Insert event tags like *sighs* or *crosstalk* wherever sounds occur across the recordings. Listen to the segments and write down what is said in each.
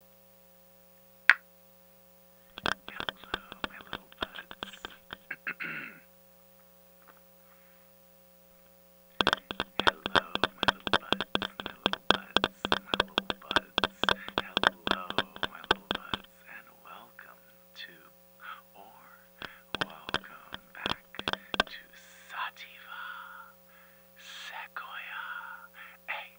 Hello, my little buds. Hello, my little buds, my little buds, my little buds. Hello, my little buds, and welcome to, or welcome back to Sativa Sequoia, a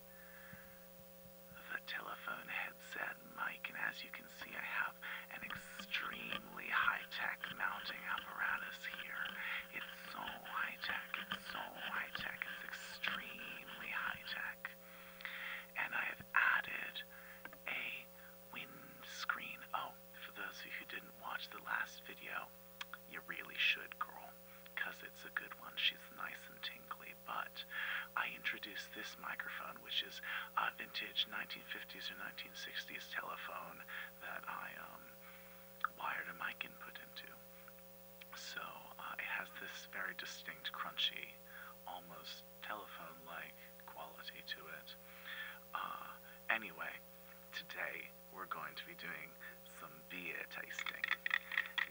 the telephone headset mic, and as you can see, I have an extremely high-tech mounting apparatus here. It's so high-tech, it's so high-tech, it's extremely high-tech. And I have added a windscreen. Oh, for those of you who didn't watch the last video, you really should, girl because it's a good one. She's nice and tinkly. but I introduced this microphone, which is a vintage 1950s or 1960s telephone that I um, wired a mic input into. So uh, it has this very distinct, crunchy, almost telephone-like quality to it. Uh, anyway, today we're going to be doing some beer tasting.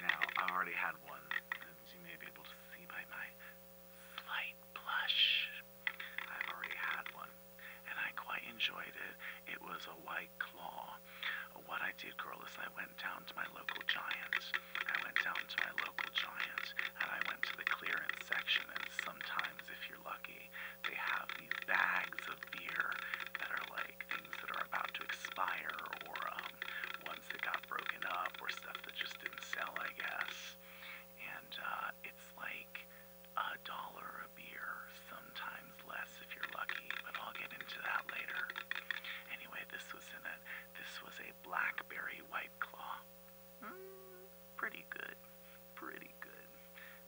Now, I've already had one, as you may be able to see by my slight blush. I've already had one, and I quite enjoyed it. It was a white claw. What I did, girl, is I went down to my local giant. I went down to my local giant, and I went to the clearance section, and sometimes, if you're lucky, they have these bags of beer that are like things that are about to expire or, um, ones that got broken up or stuff that just didn't sell, I guess. And uh, it's like a dollar a beer, sometimes less if you're lucky, but I'll get into that later. Anyway, this was in it. This was a blackberry white claw. Mm, pretty good. Pretty good.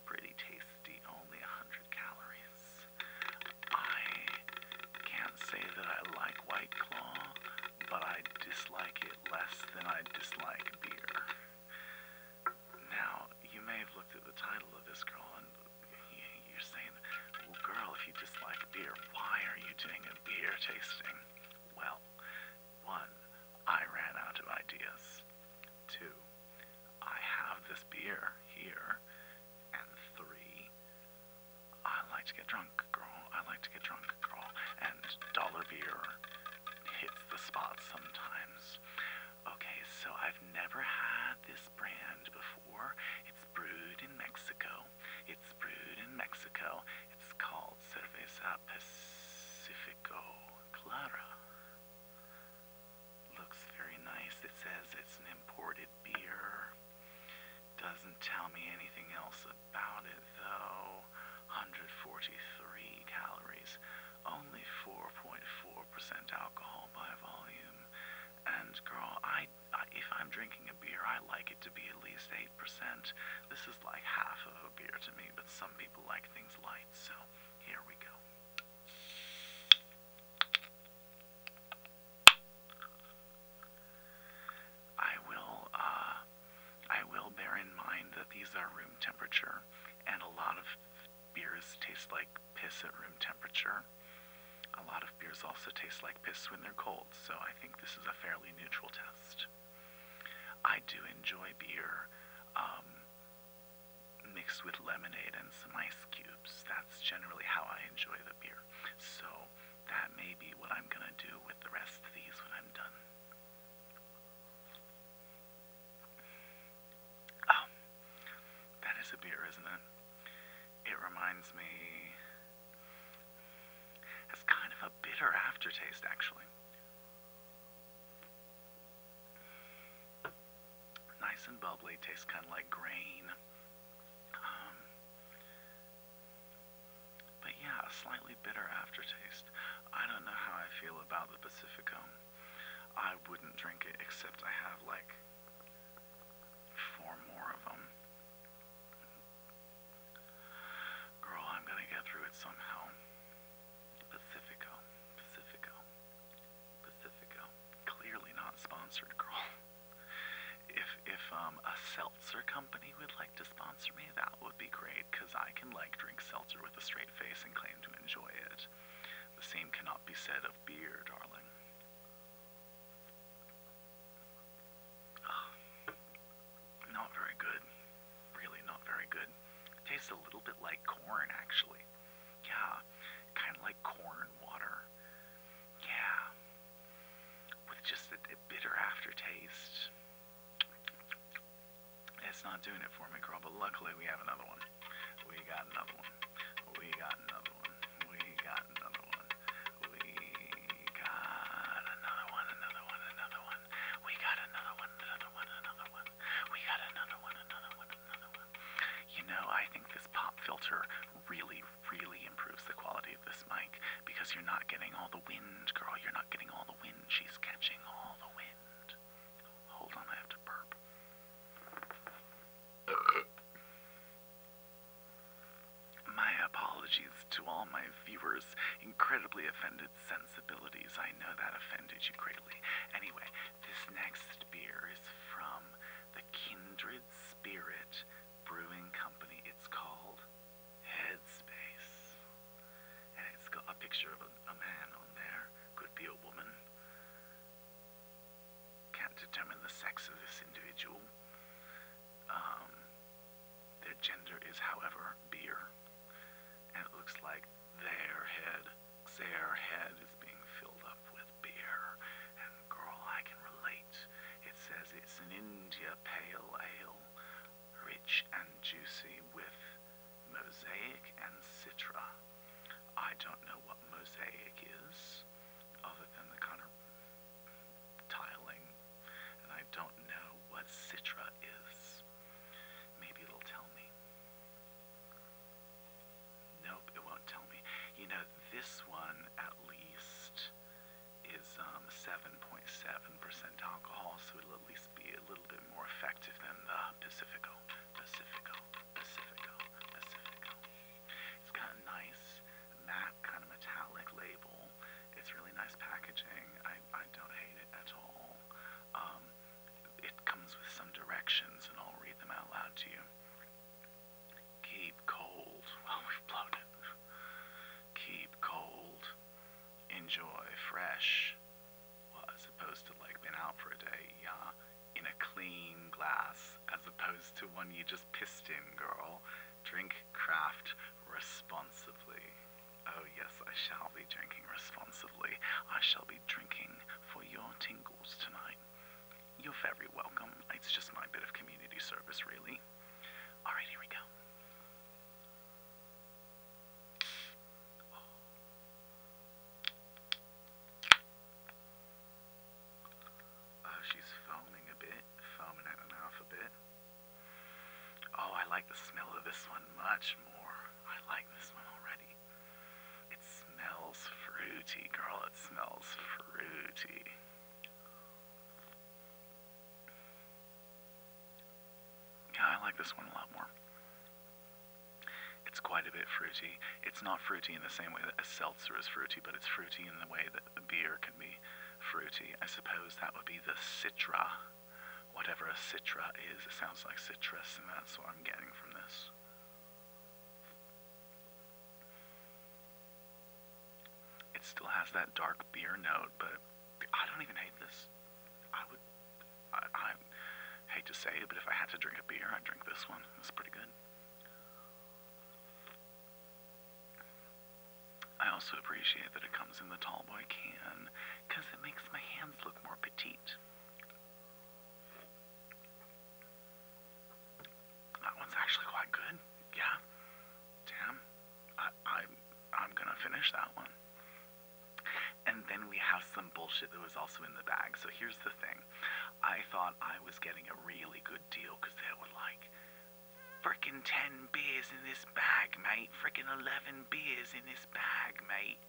Pretty tasty. Only 100 calories. I can't say that I like White Claw, but I dislike it less than I dislike beer. Now, you may have looked at the title of this girl and you're saying, well, girl, if you dislike beer, why are you doing a beer tasting? Well, one, I ran out of ideas. Two, I have this beer here. And three, I like to get drunk, girl. I like to get drunk, girl. And dollar beer hits the spot sometimes. Okay, so I've never had this brand before. It's brewed in Mexico. It's brewed in Mexico. It's called Cerveza Pacifico Clara. Looks very nice. It says it's an imported beer. Doesn't tell me anything else about it though. 143 calories, only 4.4% alcohol by volume. And girl, I, if I'm drinking a beer, I like it to be at least 8%. This is like half of a beer to me, but some people like things light, so here we go. I will, uh, I will bear in mind that these are room temperature, and a lot of beers taste like piss at room temperature. A lot of beers also taste like piss when they're cold, so I think this is a fairly neutral test. I do enjoy beer um, mixed with lemonade and some ice cubes. That's generally how I enjoy the beer. So that may be what I'm going to do with the rest of these when I'm done. Oh, that is a beer, isn't it? It reminds me. It's kind of a bitter aftertaste, actually. Nice and bubbly, tastes kind of like grain. Um, but yeah, a slightly bitter aftertaste. I don't know how I feel about the Pacifico. I wouldn't drink it except I have like four more of them. Girl, I'm gonna get through it somehow. Pacifico, Pacifico, Pacifico. Clearly not sponsored, girl. *laughs* If if um, a seltzer company would like to sponsor me, that would be great because I can like drink seltzer with a straight face and claim to enjoy it. The same cannot be said of beer, darling. *sighs* not very good. Really not very good. Tastes a little bit like corn, actually. Yeah, kind of like corn water. Yeah. With just a, a bitter aftertaste. It's not doing it for me, girl, but luckily we have another one. We got another one. We got another one. We got another one. We got another one, another one, another one. We got another one, another one, another one. We got another one, another one, you know, I think this pop filter really, really improves the quality of this mic because you're not getting all the wind, girl. You're not getting all the wind. She's catching all the wind. Hold on, I have to burp. my apologies to all my viewers' incredibly offended sensibilities. I know that offended you greatly. Anyway, this next beer is from the Kindred. Spirit Brewing Company. It's called Headspace. And it's got a picture of a, a man on there. Could be a woman. Can't determine the sex of this individual. Um, their gender is, however, beer. And it looks like their head, their head is being filled up with beer. And girl, I can relate. It says it's an India pale ale, rich and juicy with mosaic and citra. I don't know what mosaic is, other than the kind of tiling, and I don't know what citra is. Maybe it'll tell me. Nope, it won't tell me. You know, this one at least is 7.7% um, alcohol, so it'll at least be a little bit more effective than the Pacifico. Pacifico, Pacifico, Pacifico. It's got a nice matte kind of metallic label. It's really nice packaging. I, I don't hate it at all. Um, it comes with some directions, and I'll read them out loud to you. Keep cold. while *laughs* oh, we've blown it. Keep cold. Enjoy fresh. as opposed to like been out for a day, yeah. In a clean glass, as opposed to one you just pissed in, girl. Drink craft responsibly. Oh, yes, I shall be drinking responsibly. I shall be drinking for your tingles tonight. You're very welcome. It's just my bit of community service, really. All right, here we go. Oh, she's foaming a bit, foaming at the a bit. Oh, I like the smell of this one much more. I like this one already. It smells fruity, girl. It smells fruity. Yeah, I like this one a lot more. It's quite a bit fruity. It's not fruity in the same way that a seltzer is fruity, but it's fruity in the way that a beer can be fruity. I suppose that would be the citra. Whatever a citra is, it sounds like citrus, and that's what I'm getting from this. It still has that dark beer note, but I don't even hate this. I would. I, I hate to say it, but if I had to drink a beer, I'd drink this one. It's pretty good. I also appreciate that it comes in the tallboy can, because it makes my hands look more petite. That one's actually quite good. Yeah. Damn. I, I, I'm gonna finish that one. And then we have some bullshit that was also in the bag. So here's the thing. I thought I was getting a really good deal because there were like freaking 10 beers in this bag, mate. Freaking 11 beers in this bag, mate.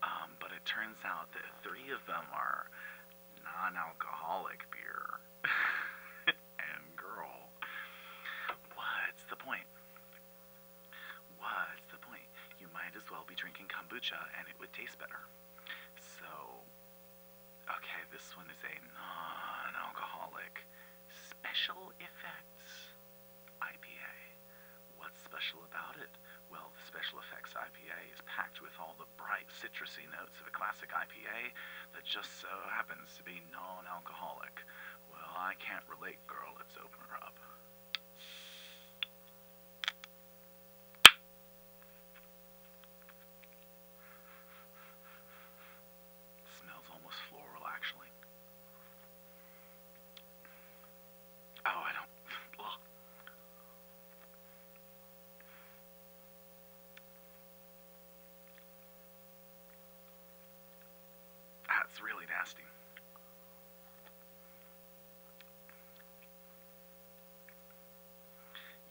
Um, but it turns out that three of them are non alcoholic beer. *laughs* and girl, what's the point? What's the point? You might as well be drinking kombucha and it would taste better. So, okay, this one is a non alcoholic special effects IPA. What's special about it? Well, the special effects IPA is packed with all the bright citrusy notes of a classic IPA that just so happens to be non alcoholic. Well, I can't relate, girl. It's opener up. Smells almost floral, actually. Oh, I don't. Ugh. That's really nasty.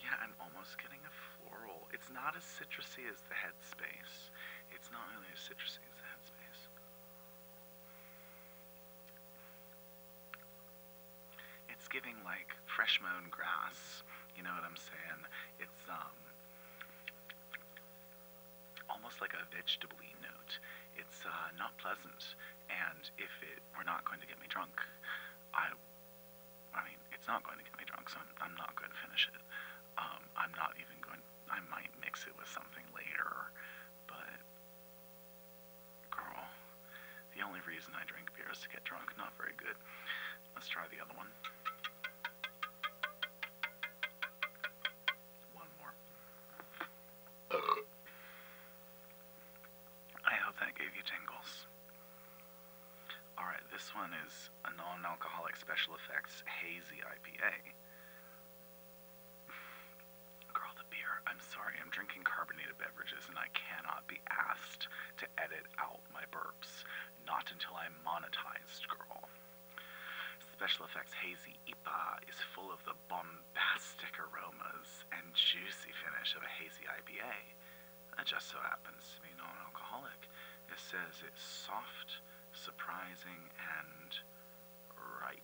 Yeah, I'm almost getting a floral. It's not as citrusy as the headspace. It's not really as citrusy as the headspace. It's giving like fresh mown grass. You know what I'm saying? It's um almost like a vegetable note. It's uh, not pleasant, and if it were not going to get me drunk, I, I mean, it's not going to get me drunk, so I'm, not going to finish it. Um, I'm not even going. I might mix it with something later, but Carl, the only reason I drink beer is to get drunk. Not very good. Let's try the other one. One more. I hope that gave you tingles. Alright, this one is a non alcoholic special effects hazy IPA. Girl, the beer. I'm sorry, I'm drinking carbonated beverages and I cannot be asked to edit out my burps. Not until I'm monetized, girl. Special Effects Hazy IPA is full of the bombastic aromas and juicy finish of a hazy IPA. That just so happens to be non alcoholic. It says it's soft, surprising, and ripe.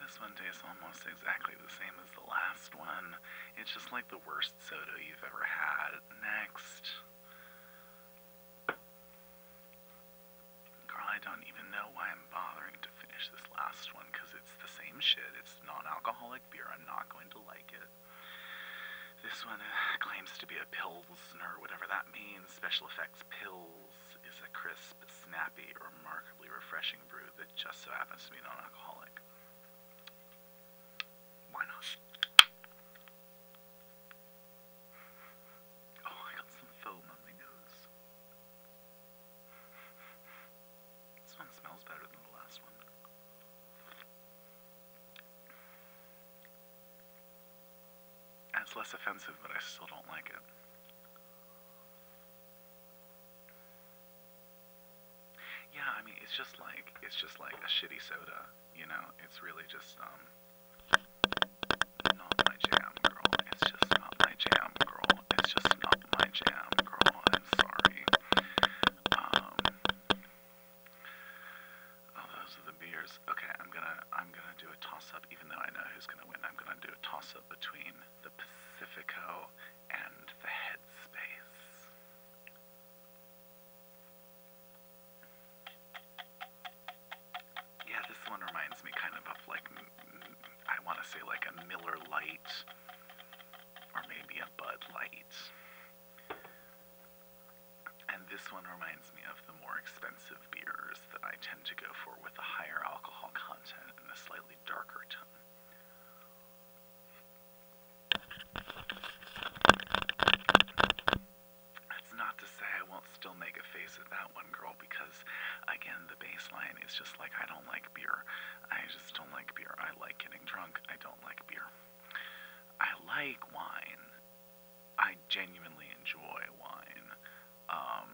This one tastes almost exactly the same as the last one. It's just like the worst soda you've ever had. Next. Carl, I don't even know why I'm bothering to finish this last one because it's the same shit. It's non alcoholic beer. I'm not going to like it. This one uh, claims to be a pilsner, whatever that means. Special effects pills. This is a crisp, snappy, remarkably refreshing brew that just so happens to be non alcoholic. Why not? Oh, I got some foam on my nose. This one smells better than the last one. It's less offensive, but I still don't like it. Yeah, I mean, it's just like it's just like a shitty soda, you know. It's really just um not my jam, girl. It's just not my jam, girl. It's just not my jam, girl. I'm sorry. Um, oh, those are the beers. Okay, I'm gonna I'm gonna do a toss up, even though I know who's gonna win. I'm gonna do a toss up between the Pacifico, and the headspace. Yeah, this one reminds me kind of of like, I want to say like a Miller Light, or maybe a Bud Light. And this one reminds me of the more expensive beers that I tend to go for with a higher alcohol content and a slightly darker tone. That's not to say I won't still make a face at that one girl because, again, the baseline is just like I don't like beer. I just don't like beer. I like getting drunk. I don't like beer. I like wine. I genuinely enjoy wine um,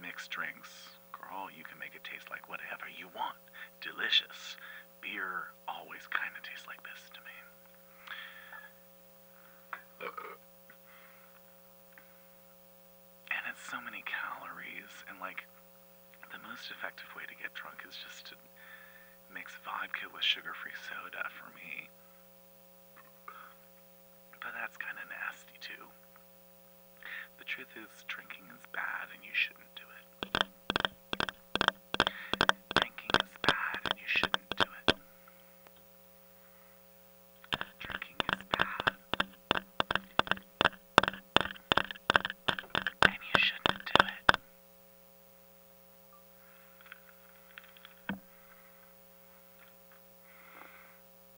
mixed drinks. Girl, you can make it taste like whatever you want. Delicious. Beer always kind of tastes like this to me. And it's so many calories, and like, the most effective way to get drunk is just to mix vodka with sugar free soda for me. But that's kind of nasty too. The truth is, drinking is bad and you shouldn't do it. Drinking is bad and you shouldn't do it. Drinking is bad. And you shouldn't do it.